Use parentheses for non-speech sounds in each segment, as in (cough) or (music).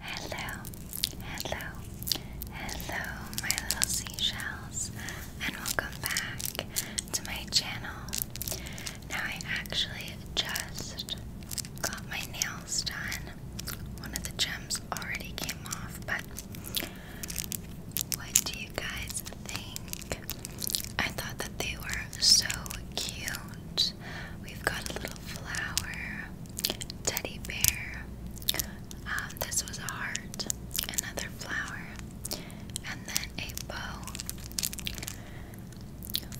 Hello, hello, hello, my little seashells, and welcome back to my channel. Now, I actually just got my nails done. One of the gems already came off, but what do you guys think? I thought that they were so cute. We've got a little flower teddy bear. Um, this was a heart, another flower, and then a bow,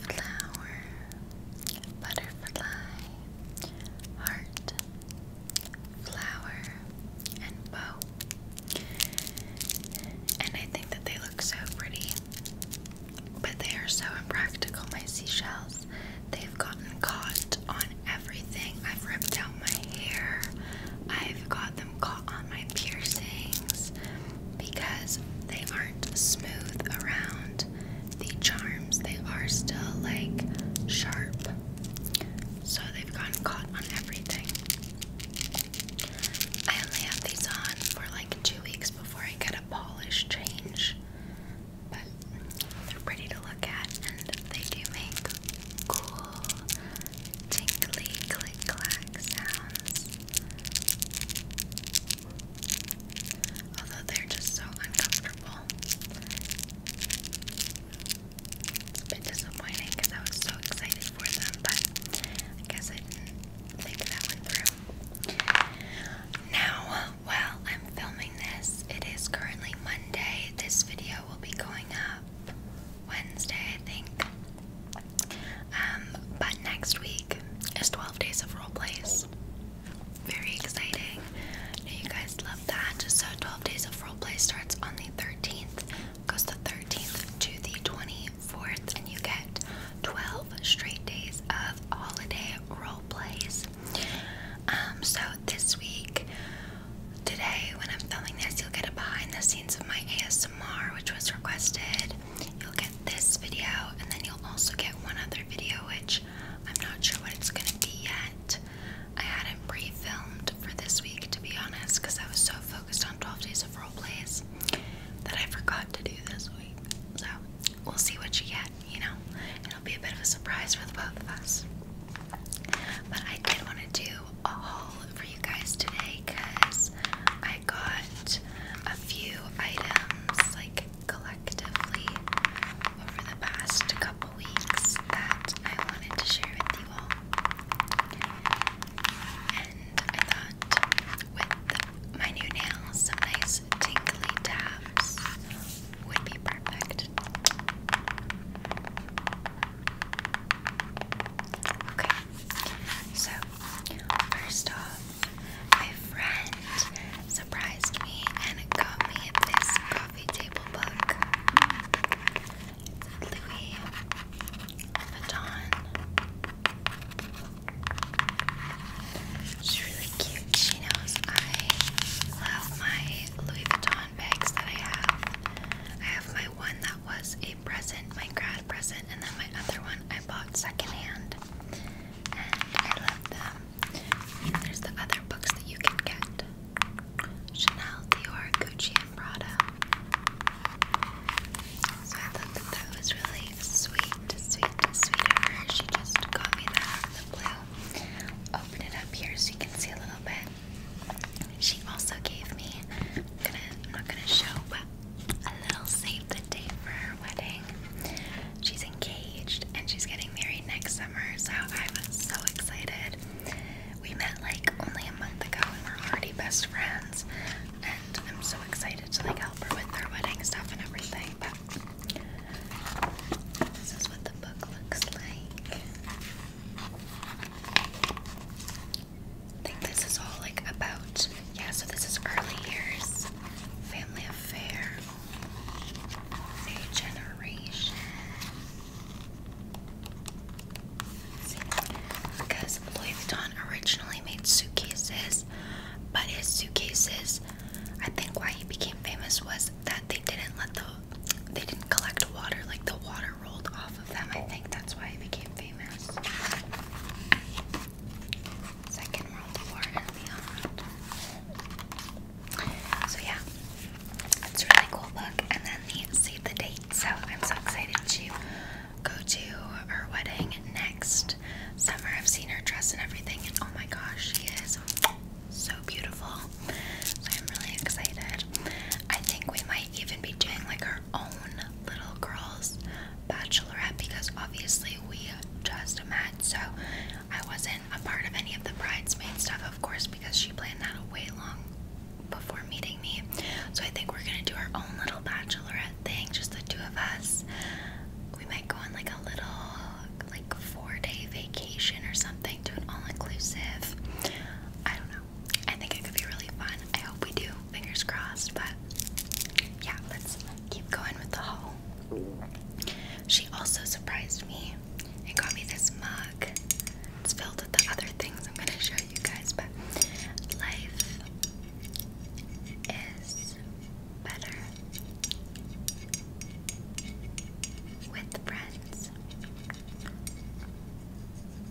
flower, butterfly, heart, flower, and bow. And I think that they look so pretty. But they are so impractical, my seashells. They've gotten caught on everything. I've ripped out my hair. I've got them caught on my piercings because they aren't smooth around the charms. They are still like sharp. So they've gotten caught on everything. I only have these on for like two weeks before I get a polish change but they're pretty to look at and they do make cool tinkly, click clack sounds. Although they're just so uncomfortable. It's a bit disappointing because I was so excited for them, but I guess I think that one through. Now, while I'm filming this, it is currently Monday. This video will be going up Wednesday, I think. Um, but next week is 12 days of role plays. Very exciting. you guys love that. just So 12 days of role play starts on the 13th, goes the 13th to the 24th, and you get 12 straight days of holiday role plays. Um, so this week, today, when I'm filming this, you'll get a behind the scenes of my ASMR, which was requested. You'll get this video, and then you'll also get one other video, which I'm not sure what it's gonna be yet. I hadn't pre filmed for this week, to be honest, because I was so focused on 12 days of role plays that I forgot to do this week. So, we'll see what you get you know, it'll be a bit of a surprise for the both of us. But I did want to do a haul for you guys today because I got a few items like collectively over the past couple weeks that I wanted to share with you all. And I thought with the, my new nails, some nice those tingly taps would be perfect. Okay, so first off, my friend surprised me and got me this coffee table book. It's Louis Vuitton. She's really cute. chinos. I love my Louis Vuitton bags that I have. I have my one that was a present, my grad present, and then my other one I bought secondhand. And I love them. And there's the other books that you can get. Chanel, Dior, Gucci, and Prada. So I thought that that was really sweet, sweet, sweet of She just got me that out of the blue open it up here so you can see a little bit. She also gave me, I'm, not gonna show, but a little save the date for her wedding. She's engaged and she's getting married next summer, so i was so excited. We met like only a month ago and we're already best friends. And I'm so excited to like help her with her wedding stuff and everything. But this is what the book looks like. I think this is all like about. Yeah, so this is early years, family affair, a generation. because Louis Vuitton originally made suitcases, but his suitcases I think why he became famous was that they didn't let the they didn't collect water, like the water rolled off of them. I think that's why he became famous. Second World War and beyond. So yeah, it's really cool book. And then the save the date. So I'm so excited to go to her wedding next summer. I've seen her dress and everything, and oh my gosh, she is so beautiful. So I'm really excited. I think we might even be doing like our own little girls bachelorette because obviously we just met. So I wasn't a part of any of the bridesmaid stuff, of course, because she planned that way long before meeting me. So I think we're gonna do our own little bachelorette thing, just the two of us. We might go on like a little like four day vacation or something to an all inclusive. I don't know. I think it could be really fun. I hope we do. Fingers crossed. But yeah, let's keep going with the haul. She also surprised me and got me this mug. It's filled with the other things I'm gonna show you guys, but life is better with friends.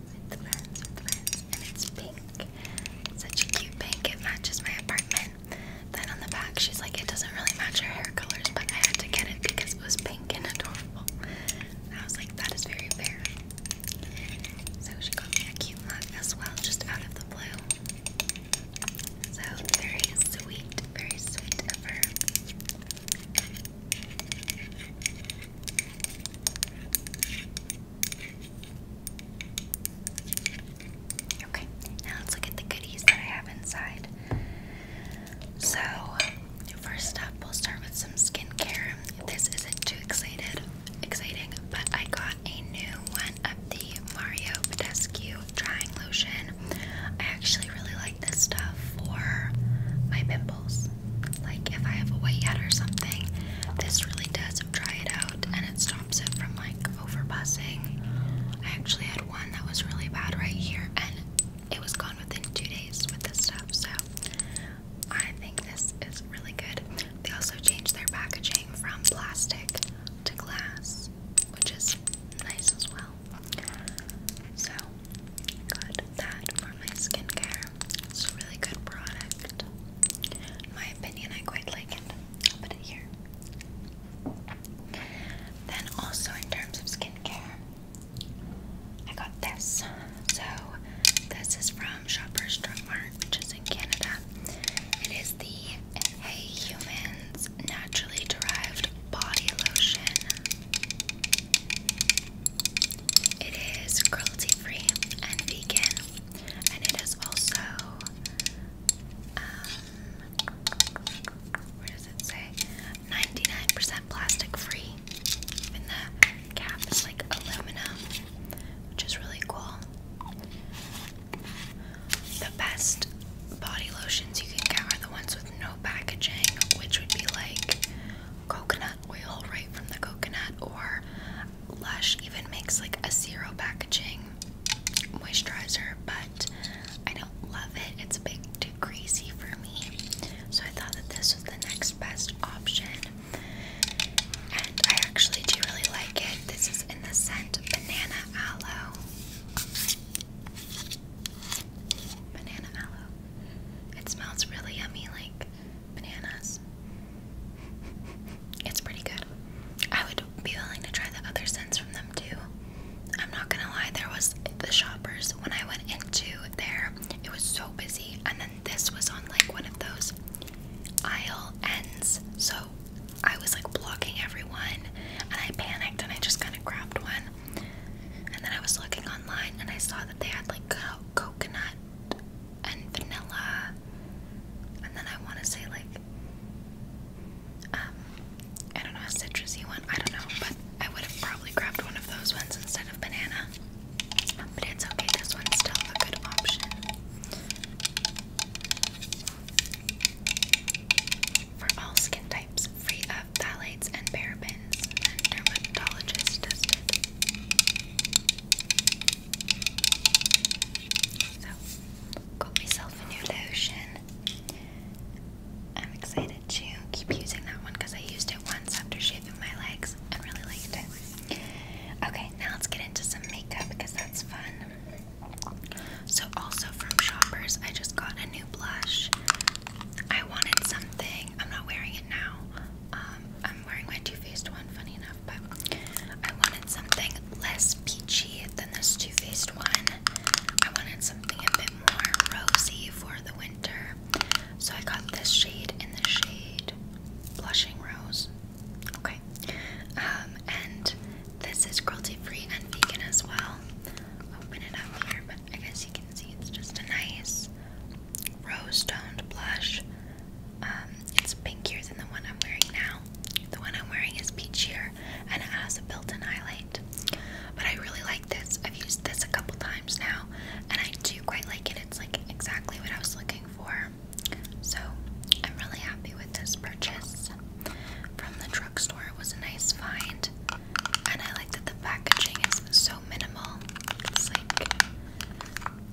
With friends, and it's pink. Such a cute pink. It matches my apartment. Then on the back, she's like, it doesn't really match her hair colors, but I had to get it because it was pink and adorable. I was like, that is very fair. So she got me a cute mug as well, just out of the blue. So very sweet, very sweet Okay, now let's look at the goodies that I have inside. So, first up, we'll start with some skincare. This isn't too excited, exciting, but I got a new one the Mario Badescu drying lotion. I actually really like this stuff for my pimples. Like if I have a whitehead or something, this really does dry it out and it stops it from like overbussing. I actually had one that was really bad right here and it was gone within two days with this stuff. So I think this is really good. They also changed their packaging from plastic to glass, which is nice as well. So, got that for my skincare. It's a really good product. my opinion, I quite like it. I'll put it here. Then, also in terms of skincare, I got this. So, this is from Shoppers Drug Mart, which is in Canada. It is the Hey Humans naturally derived body lotion. It is cruelty free and vegan, and it is also, um, where does it say? 99% plastic free. And the cap is like aluminum, which is really cool. The best body lotions you can get are the ones with no packaging, which would be like coconut oil right from the coconut, or Lush even makes like a zero packaging moisturizer, but I don't love it. It's a bit too greasy for me. So I thought that this was the next best option. And I actually do really like it. This is in the scent Banana Aloe. Banana aloe. It smells really yummy like bananas. It's pretty good. I would be willing to try the other scents from them too. I'm not gonna lie, there was the shoppers when I went into there, it was so busy, and then this was on like one of those aisle ends, so I was like blocking everyone and I panicked and I just kind of grabbed one. And then I was looking online and I saw that they had like coconut and vanilla. And then I want to say like um, I don't know a citrusy one. I don't know, but I would have probably grabbed one of those ones instead of banana. But it's okay. This one's still a good option for all skin types, free of phthalates and parabens, and dermatologist tested. So, got myself a new lotion. I'm excited to keep using that one because I used it once after shaving my legs and really liked it. Okay, now let's get into some makeup because that's fun. So, also from Shoppers, I just got a new blush. I wanted something. I'm not wearing it now. Um, I'm wearing my Too Faced one, funny enough, but I wanted something less peachy than this Too Faced one. I wanted something a bit more rosy for the winter. So, I got this shade in the shade Blushing Rose. Okay. Um, and this is cruelty free and vegan as well open it up here, but I guess you can see it's just a nice rose toned blush. Um, it's pinkier than the one I'm wearing now. The one I'm wearing is peachier and it has a built in highlight. But I really like this. I've used this a couple times now and I do quite like it. It's like exactly what I was looking for. So I'm really happy with this purchase from the drugstore. It was a nice find, and I like that the packaging is so minimal. It's like,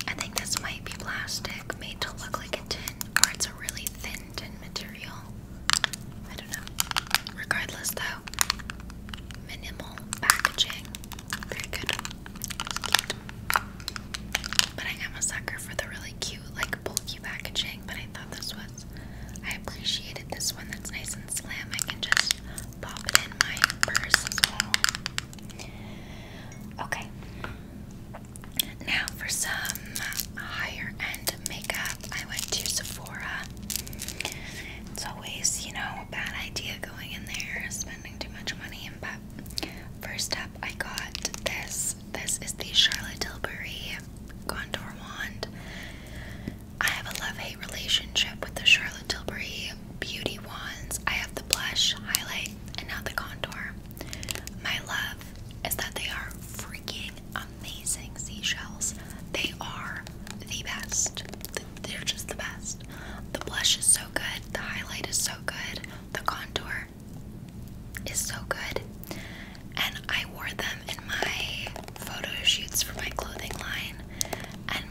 I think this might be plastic made to look like a tin, or it's a really thin tin material. I don't know. Regardless, though, minimal packaging. Very good. But I am a sucker for the really cute, like bulky packaging. But I thought this I appreciated this one that's nice and slim. I can just pop it in my purse as well. Okay. Now for some higher end makeup, I went to Sephora. It's always, you know, a bad idea going in there, spending too much money, but first up I got this. This is the Charlotte Tilbury contour wand. I have a love-hate relationship with the Charlotte Tilbury Beauty Wands. I have the blush, highlight, and now the contour. My love is that they are freaking amazing seashells. They are the best. They're just the best. The blush is so good. The highlight is so good. The contour is so good and I wore them in my photo shoots for my clothing line, and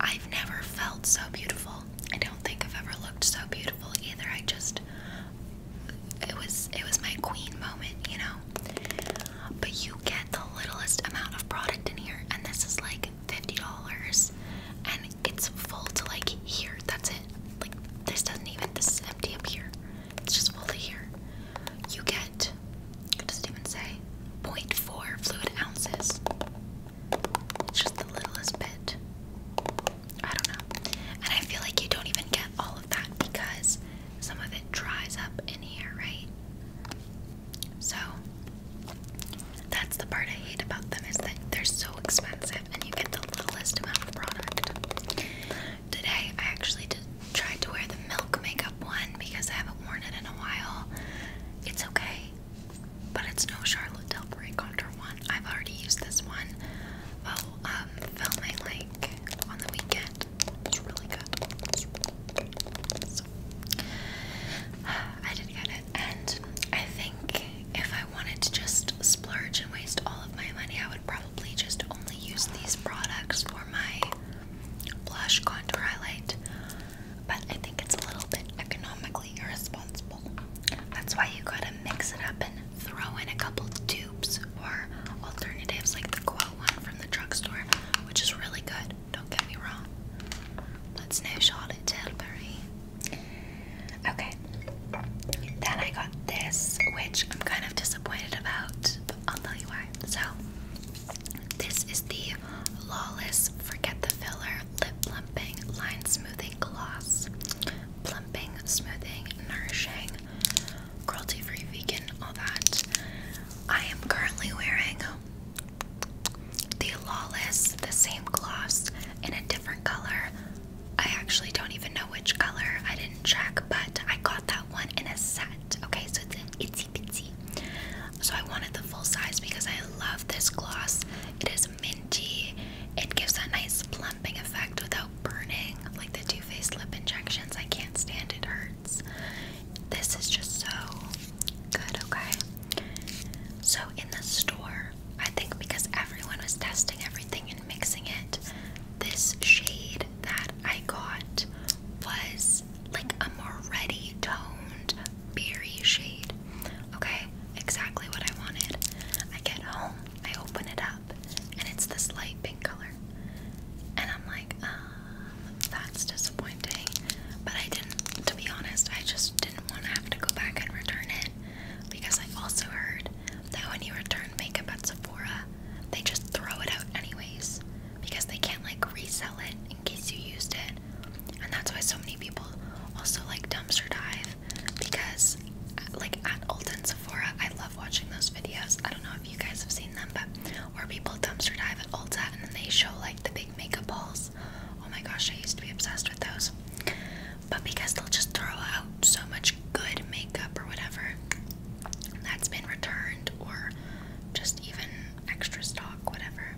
I've never felt so beautiful. I don't think I've ever looked so beautiful either. I just it was it was my queen moment, you know. But you get the littlest amount of product in here, and this is like fifty dollars, and it's full to like here. That's it. Like this doesn't even. This empty up here. It's just fully here. You get, what does it even say? 0.4 fluid ounces. It's just the littlest bit. I don't know. And I feel like you don't even get all of that because some of it dries up in here, right? So that's the part I hate about them is that they're so expensive and you get the littlest amount of product. Today I actually tried to wear the milk makeup one because I haven't worn it in a while. It's okay, but it's no Charlotte Tilbury contour one. I've already used this one while oh, um, filming like on the weekend. It's really good. (sighs) I did not get it, and I think if I wanted to just splurge and waste all of my money, I would probably just only use these products for my blush, contour, highlight, but I think it's a little bit economically irresponsible. That's why you gotta mix it up and throw in a couple tubes or alternatives like the Quo one from the drugstore, which is really good. Don't get me wrong. That's no shot at Tilbury. Okay. Then I got this, which I'm kind of disappointed about. I'll tell you why. So, this is the Lawless Forget the Filler Lip Plumping Line Smoothing Gloss. Plumping, smoothing, nourishing, cruelty free, vegan, all that. I am currently wearing the Lawless, the same gloss in a different color. I actually don't even know which color, I didn't check, but I got that one in a set. Okay, so it's an itsy bitsy. So I wanted the full size because I love this gloss. It is minty. It gives a nice plumping effect without burning. Like the Too Faced lip injections, I can't stand it hurts. This is just so good, okay? So in the store, I think because everyone was testing everything and mixing it, this shade that I got was like a more ready toned berry shade. Okay, exactly what I wanted. I get home, I open it up, and it's this light pink color. And I'm like, um, that's disappointing. But I didn't, to be honest, I just didn't want to have to go back and return it. Because I've also heard that when you return makeup at Sephora, they just throw it out anyways because they can't like resell it in case you used it. And that's why so many people also like dumpster dive because uh, like at Ulta and Sephora, I love watching those videos. I don't know if you guys have seen them, but where people dumpster dive at Ulta and then they show like the big makeup balls. Oh my gosh, I used to be obsessed with those. But because they'll just throw out so much good makeup or whatever that's been returned or just even extra stock, whatever.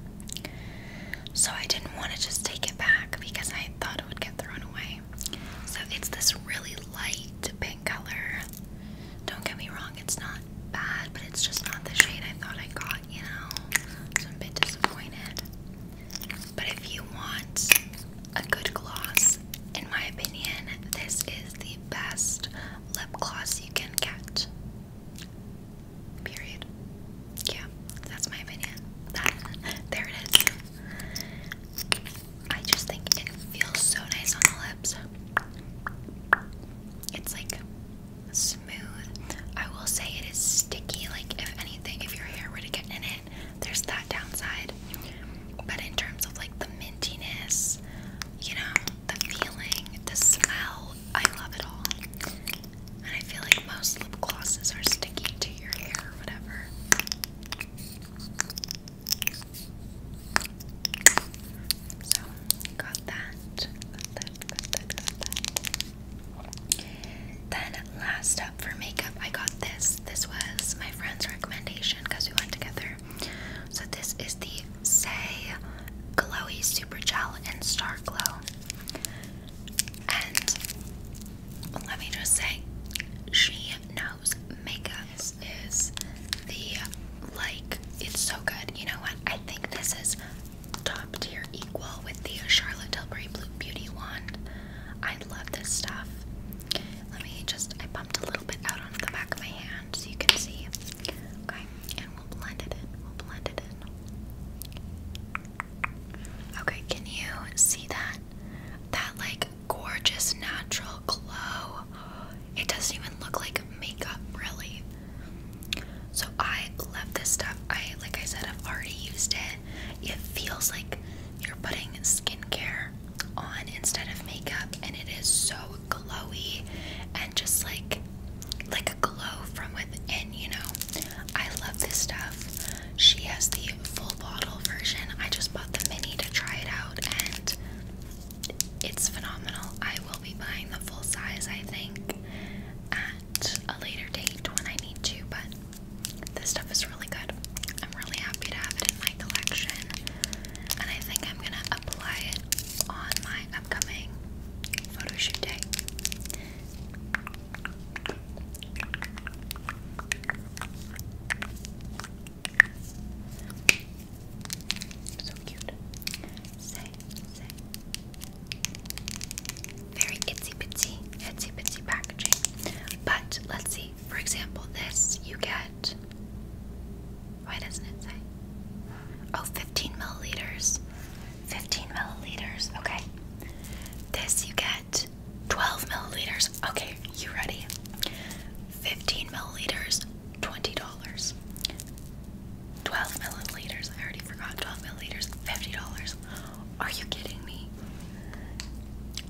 So I didn't want to just take it back because I thought it would get thrown away. So it's this really light pink color. Don't get me wrong, it's not bad, but it's just not the shade I thought I got, you know? So I'm a bit disappointed. But if you want a good gloss, in my opinion, this is the best lip gloss you can get. Period. Yeah, that's my opinion. That, there it is. I just think it feels so nice on the lips. It's like smooth. I will say it is sticky, like if anything, if your hair were to get in it, there's that downside. But in terms of like the mintiness, you know, the feeling, the smell, I love it all. And I feel like most lip glosses are sticking to your hair or whatever. So, got that. Then, last up for makeup, I got this. This was my friend's recommendation because we went together so this is the Say Glowy Super Gel in Star Glow. And let me just say, she knows makeup. is the like it's so good. You know what? I think this is top tier equal with the Charlotte Tilbury Blue Beauty wand. I love this stuff. Let me just I bumped a little little bit out onto the back of my hand so you can see. Okay, and we'll blend it in. We'll blend it in. Okay, can you see that? That like gorgeous natural glow. It doesn't even look like makeup, really. So I love this stuff. I like I said I've already used it. It feels like you're putting skincare on instead of makeup and it is so glowy and just like like a glow from within, you know. I love this stuff. She has the full bottle version. I just bought the mini to try it out and it's phenomenal. I will be buying the full size, I think, at a later date when I need to, but this stuff is really good. I'm really happy to have it in my collection and I think I'm gonna apply it on my upcoming photo shoot day. So cute. Say, say. Very itsy bitsy, itsy bitsy packaging. But let's see. For example, this you get why doesn't it say? Oh, 15 milliliters. 15 milliliters. Okay. This you get 12 milliliters. Okay, you ready? 15 milliliters, $20. 12 milliliters, I already forgot. 12 milliliters, $50. Are you kidding me?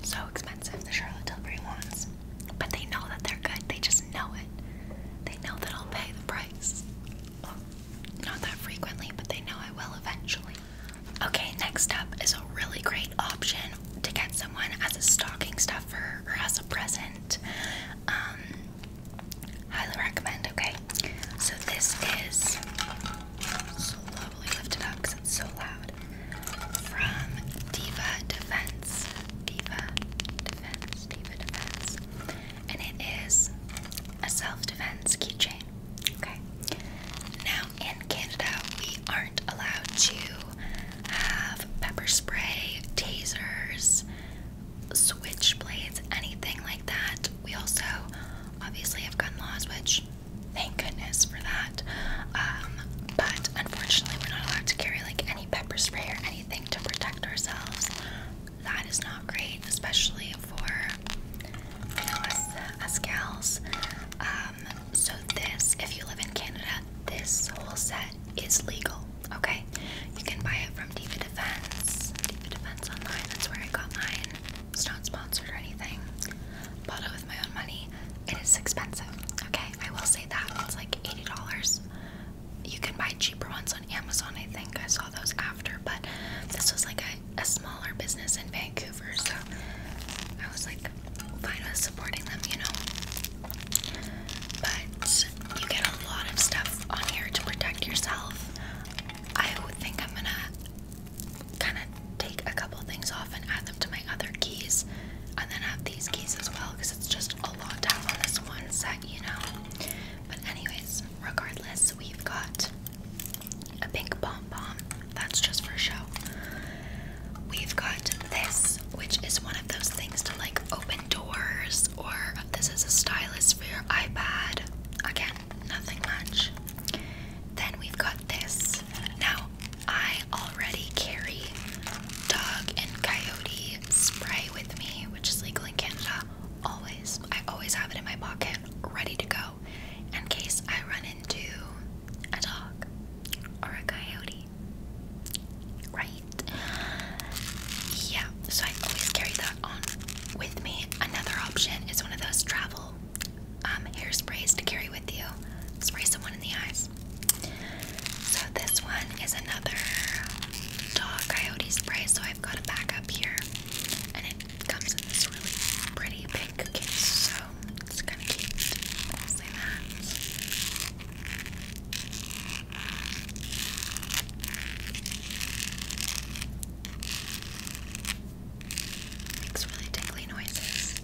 So expensive, the Charlotte Tilbury ones. But they know that they're good. They just know it. They know that I'll pay the price. not that frequently, but they know I will eventually. Okay, next up is a really great option to get someone as a stocking stuffer or as a present. Um, highly recommend, okay? So this is slowly lifted up because it's so loud. From Diva Defense. Diva Defense, Diva Defense. And it is a self-defense keychain. Okay. Now in Canada we aren't allowed to have pepper spray, tasers, switchblades, anything like that. We also obviously have gun laws, which thank goodness for that. Um, but unfortunately we're not allowed to carry like any pepper spray or any anything to protect ourselves, that is not great, especially for you know, us, us gals. Um, so, this, if you live in Canada, this whole set is legal, okay? You can buy it from Diva Defense, Diva Defense Online, that's where I got mine. It's not sponsored or anything. Bought it with my own money. It is expensive, okay? I will say that. It's like $80 you can buy cheaper ones on Amazon. I think I saw those after, but this was like a, a smaller business in Vancouver, so I was like fine with supporting them, you know. But you get a lot of stuff on here to protect yourself. I would think I'm gonna kind of take a couple things off and add them to my other keys, and then have these keys as well because it's just a lot to on this one set, you know. But anyways, regardless, we've got a pink pom pom. That's just for show. We've got this, which is one of those things to like open doors, or this is a stylus for your iPad. Again, nothing much. Then we've got this. Now, I already carry dog and coyote spray with me, which is legal in Canada. Always, I always have it in my pocket, ready to go, in case I run into a dog or a coyote. Right? Yeah. So I always carry that on with me. Another option is one of those travel um, hair sprays to carry with you. Spray someone in the eyes. So this one is another dog coyote spray. So I've got a backup here, and it comes in this really pretty pink case. So it's kind of cute. Makes really tingly noises.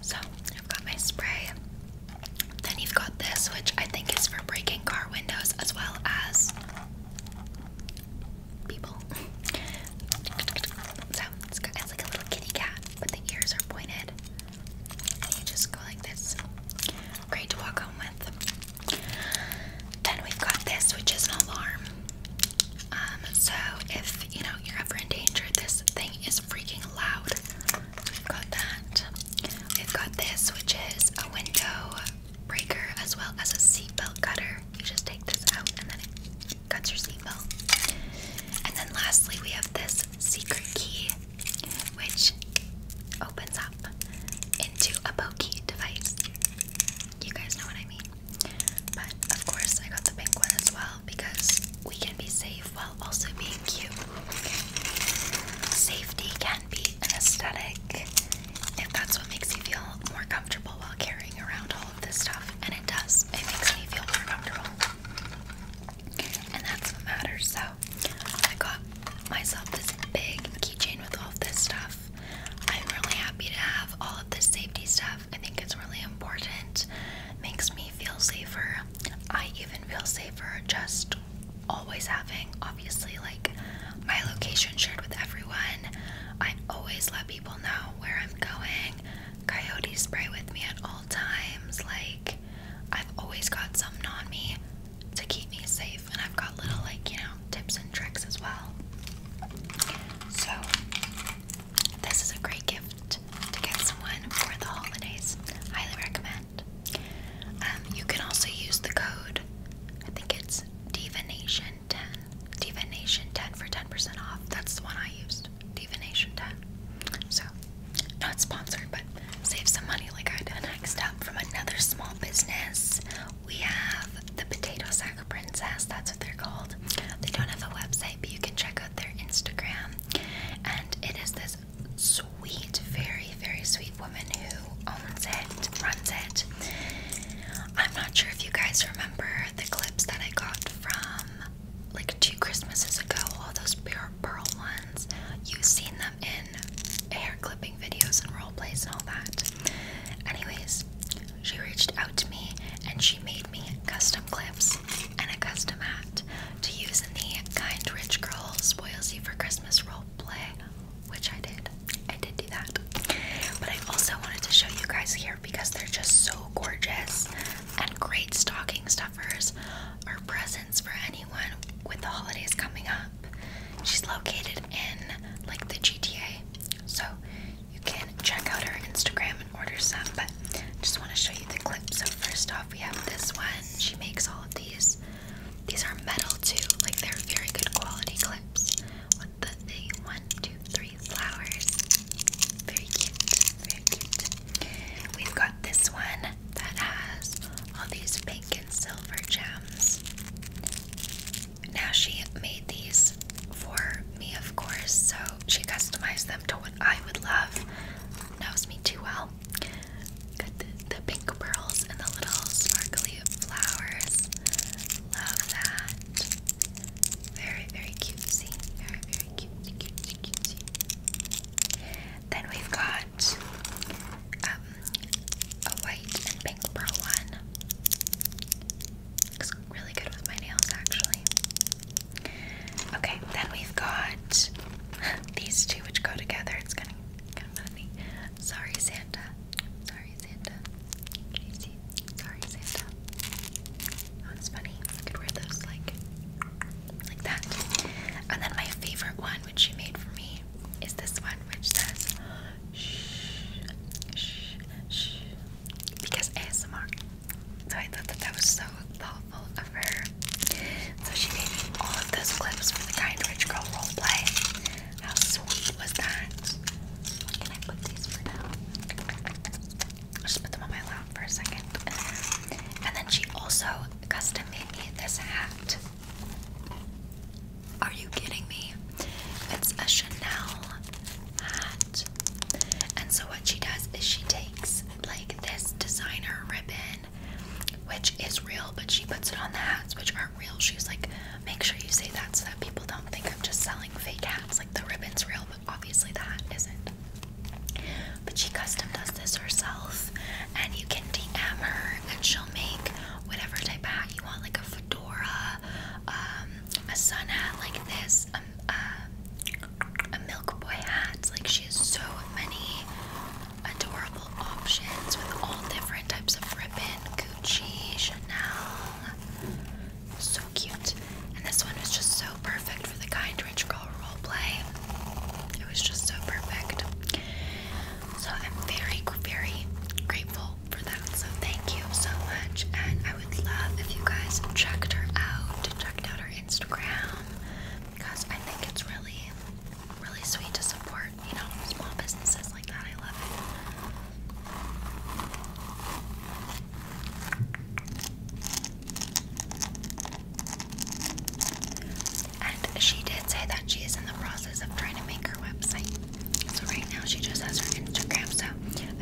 So I've got my spray. Then you've got this, which I think is for breaking car windows as well as people. (laughs) so it's, got, it's like a little kitty cat, but the ears are pointed. you just go like this. Great to walk home with. Then we've got this, which is an alarm. Um, so if you know you're ever in danger, this thing is freaking loud. We've got that. We've got this, which is a window breaker as well as a seatbelt cutter. You just take this out and then it cuts your seatbelt. And then lastly, we have this secret key, which opens up into a pokey device. You guys know what I mean. But of course, I got the pink one as well because we can be safe while also being cute. Safety can be an aesthetic if that's what makes you feel more comfortable while carrying around all of this stuff, and it does. It makes me feel more comfortable, and that's what matters. So, I got myself this big keychain with all of this stuff. I'm really happy to have all of this safety stuff I think it's really important. Makes me feel safer. I even feel safer just always having, obviously, like my location shared with everyone. I always let people know where I'm going. Coyotes spray with me at all times. Like, I've always got something on me to keep me safe, and I've got little, like, you know, tips and tricks as well. So, this is a great gift to get someone for the holidays. Highly recommend. Um, you can also use the code, I think it's DivaNation10. DivaNation10 for 10% off. That's the one I used. DivaNation10. So, not sponsored, but save some money like I did. Next up, from another small business, we have the potato sack. Circle Princess, that's what they're called. They don't have a website, but you can check out their Instagram. And it is this sweet, very, very sweet woman who owns it, runs it. I'm not sure if you guys remember the clips that I got from like two Christmases ago, all those pure pearl ones. You've seen them in hair clipping videos and role plays and all that. Anyways, she reached out to me and she made me custom clips and a custom hat to use in the Kind Rich Girl Spoils for Christmas role play, which I did. I did do that. But I also wanted to show you guys here because they're just so gorgeous and great stocking stuffers or presents for anyone with the holidays coming up. She's located in like the GTA. So you can check out our Instagram and order some, but just want to show you the clips. So first off, we have this one. She makes all of these. These are metal too, like they're very good quality clips. With the one, two, three flowers. Very cute, very cute. We've got this one that has all these pink and silver gems. Now she made these for me, of course, so she customized them to what I would love. Knows me too well. the, pink pearls and the little sparkly flowers. Love that. Very, very cutesy. Very, very cute, cutesy, cutesy. Then we've got um, a white and pink pearl one. It's really good with my nails, actually. Okay, then we've got (laughs) these two which go together. It's gonna of, kind of funny. Sorry, Santa. Sorry, Santa. Can you see? Sorry, Santa. Oh, that's funny. You could wear those like, like that. And then my favorite one, which she made for me, is this one, which says shh, shh, shh, because ASMR. So I thought that that was so thoughtful of her. So she made me all of those clips from the Kind Rich Girl roleplay. How sweet was that? Can I put these for now? I'll just put them on my lap for a second. And then she also custom made me this hat. Are you kidding me? It's a Chanel hat. And so what she does is she takes like this designer ribbon, which is real, but she puts it on the hats which aren't real. She's like, make sure you say that so that people don't think I'm just selling fake hats. Like the ribbon's real, but obviously the hat isn't. But she custom does this herself, and you can DM her, and she'll make whatever type of hat you want, like a fedora, um, a sun hat like this, uh, a Milk Boy hat. Like she has so many adorable options with all different types of ribbon, Gucci, Chanel. So cute. And this one was just so perfect for the kind rich girl role play. It was just so perfect. So I'm very, very grateful for that. So thank you so much. I would love if you guys checked her out, checked out her Instagram, because I think it's really, really sweet to support, you know, small businesses like that. I love it. And she did say that she is in the process of trying to make her website. So right now she just has her Instagram. So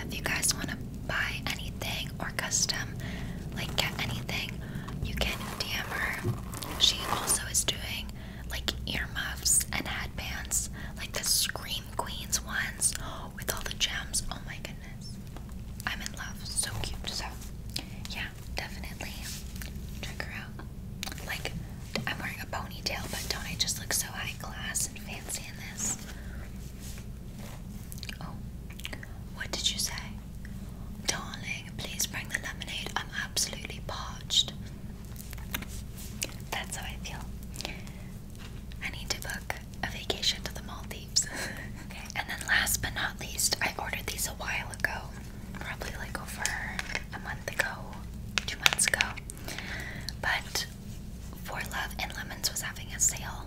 if you guys want to buy any or custom, like get anything, you can DM her. She also is doing like earmuffs and headbands, like the Scream Queens ones with all the gems. Oh my goodness. I'm in love. So cute. So, yeah, definitely check her out. Like, I'm wearing a ponytail, but don't I just look so high class and fancy in this? Oh, what did you say? Darling, please bring the lemonade. I'm absolutely parched. That's how I feel. I need to book a vacation to the Maldives. (laughs) okay, and then last but not least, I ordered these a while ago. Probably like over a month ago, two months ago. But for Love and Lemons was having a sale,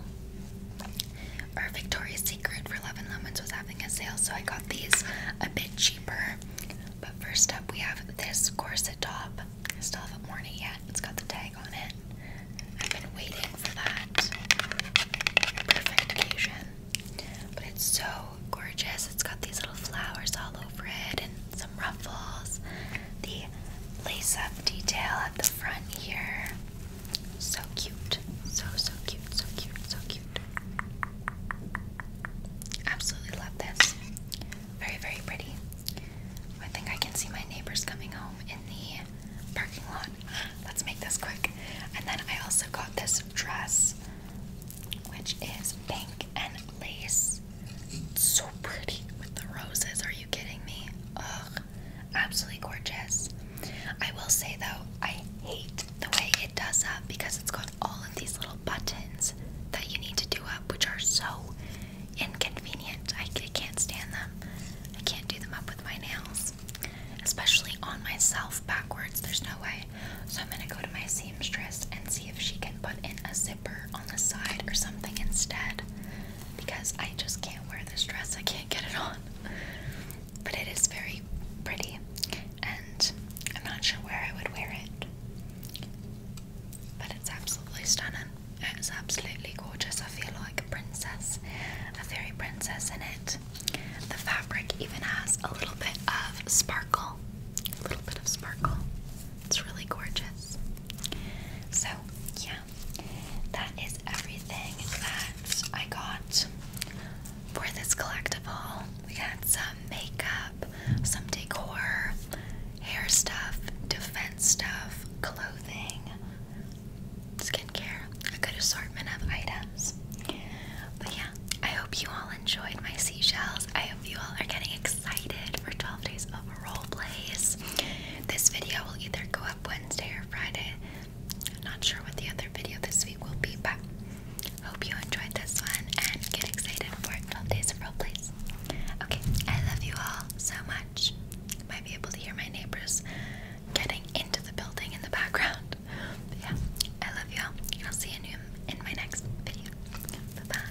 Our Victoria's Secret For Love and Lemons was having a sale, so I got these a bit cheaper. But first up, we have this corset top. I still have a worn yet. It's got the tag on it. I've been waiting for that perfect occasion. But it's so gorgeous. It's got these little flowers all over it and some ruffles. The lace up detail at the front here. So cute. So, so cute. So cute. So cute. Absolutely love this. Very, very pretty. I think I can see my neighbors coming home in the parking lot. (gasps) Let's make this quick. And then I also got this dress, which is pink and lace. so pretty with the roses. Are you kidding me? Ugh. Absolutely gorgeous. I will say though, I hate the way it does up because it's got all of these little buttons that you need to do up, which are so inconvenient. I, I can't stand them. I can't do them up with my nails, especially on myself backwards. There's no way. So I'm gonna go to my seamstress and see if she can put in a zipper on the side or something instead because I just can't wear this dress. I can't get it on. But it is very pretty, and I'm not sure where I would wear it. But it's absolutely stunning. It's absolutely gorgeous. I feel like a princess, a fairy princess in it. The fabric even has a little bit of sparkle, a little bit of sparkle. It's really gorgeous. So, yeah, that is everything that I got for this collectible. We got some makeup, some decor, hair stuff, defense stuff, clothing, skincare, a good assortment of items. But yeah, I hope you all enjoyed my seashells. I hope you all are getting excited for 12 days of role plays. This video will either go up Wednesday or Friday. I'm not sure what the other video this week will be, but hope you enjoyed this one and get excited for 12 days of role plays. Okay, I love you all so much. You might be able to hear my neighbors getting into the building in the background. yeah, I love you all, I'll see you in my next video. bye.